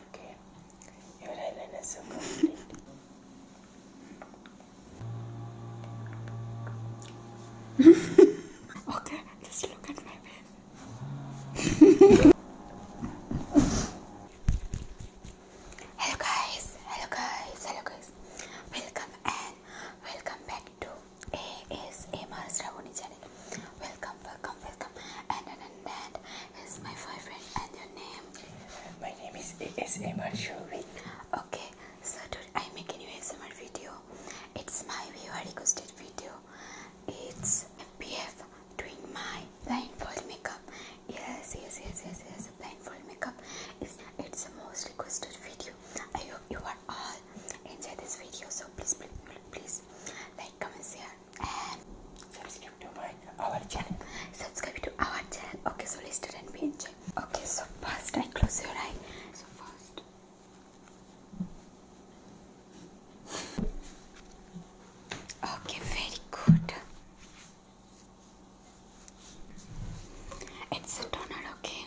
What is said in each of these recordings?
Okay, your eyeliner is so okay, just look at my face. hello guys, hello guys, hello guys. Welcome and welcome back to ASMR Sravoni channel. Welcome, welcome, welcome. And and and is my boyfriend and your name? My name is ASMR Shuri. Okay, so today I make a new ASMR video. It's my viewer requested video. It's MPF doing my blindfold makeup. Yes, yes, yes, yes, yes. Blindfold makeup is it's the most requested video. I hope you are all all enjoy this video so please please please, like comment share and subscribe to our channel subscribe to our channel okay so let's do and we enjoy okay so first i close your eye so first okay very good it's a okay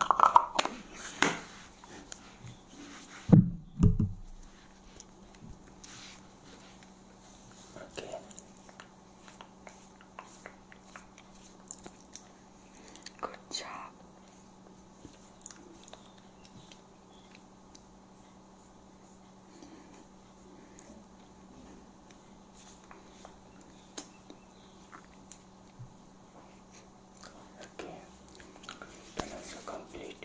Okay. Good job. Okay, done also complete.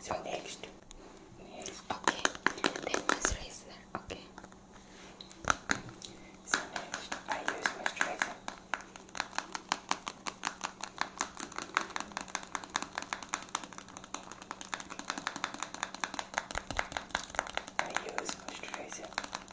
So next, Okay, then moisturizer. Okay. So next, I use moisturizer. I use moisturizer.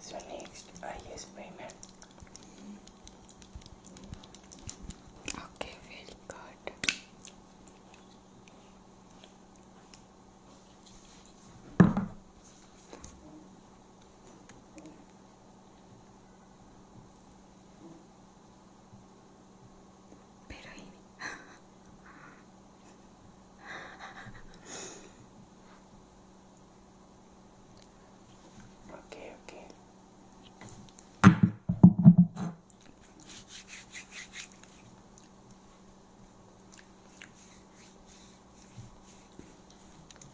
So next I use primer. Okay, very good. Pero ini Okay, okay.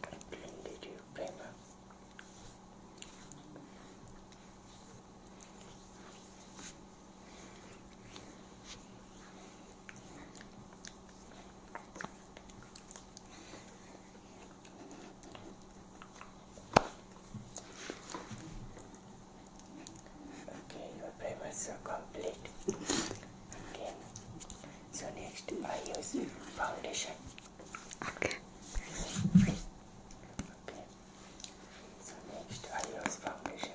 What plane did you play now? Okay, your primers so complete. okay. So next I use foundation. Okay. Okay. So next I use foundation.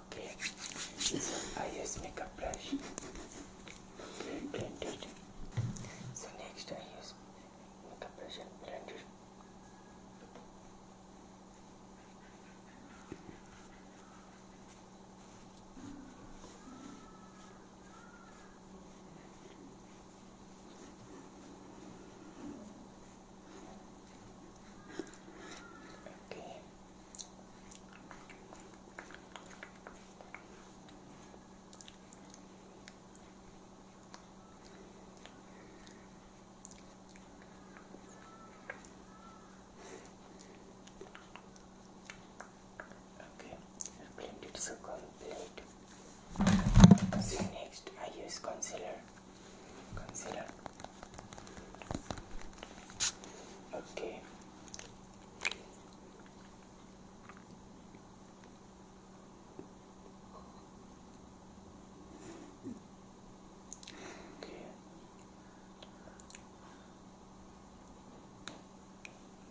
okay, I use makeup brush. Okay, So next I use makeup brush and blend Okay. Okay, blend it so complete. So next I use concealer. Concealer. Okay. Okay.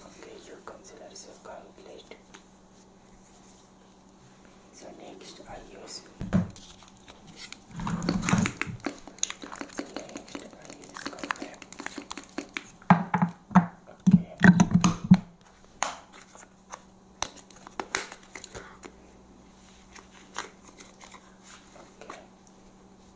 Okay, your concealers are complete. So next I use Okay.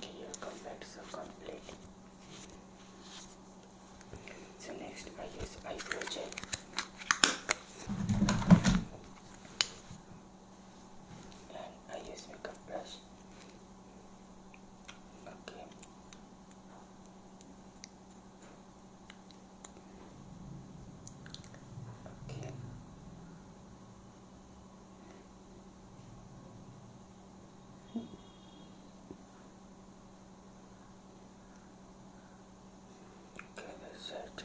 okay your contacts are complete so next I use eyebrow gel I use makeup brush okay Okay. Okay, that's it.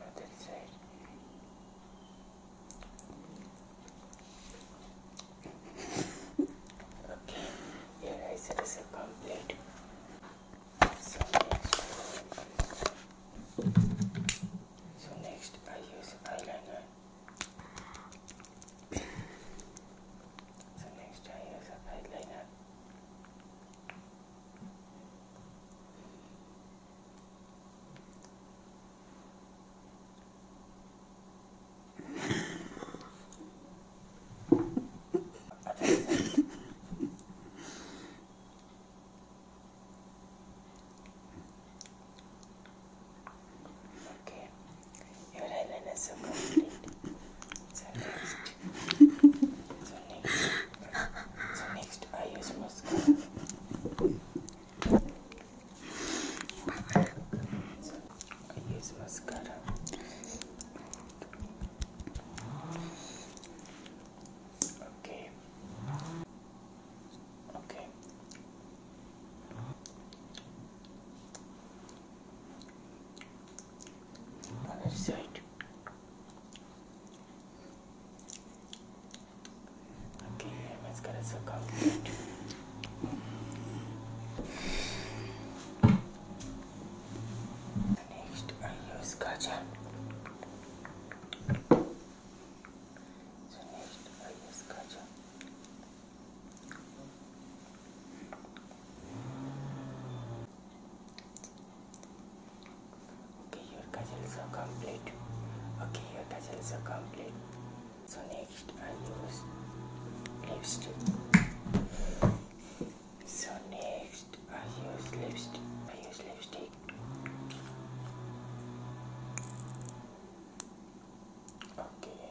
I did say it. okay, your eyesight is complete. So next, so next I use eyeliner. So next I use eyeliner. Okay, your island is so complete. So next, so next. So next I use mascara. So I use mascara. Okay. Okay. Okay, mascara's so complete. Next, I use kajal. So next, I use kajal. Okay. Okay, your cudgels are complete. Okay, your cudgels are complete. So next I use lipstick. So next I use lipstick. I use lipstick. Okay.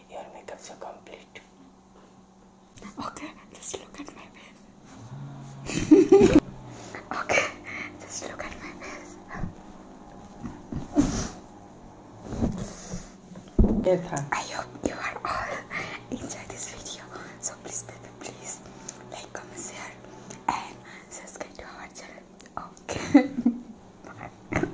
your makeups so complete. Okay, just look at my face. okay, just look at my face. Yes, I hope you are all enjoy this video. So please, baby, please like, comment, share, and subscribe to our channel. Okay.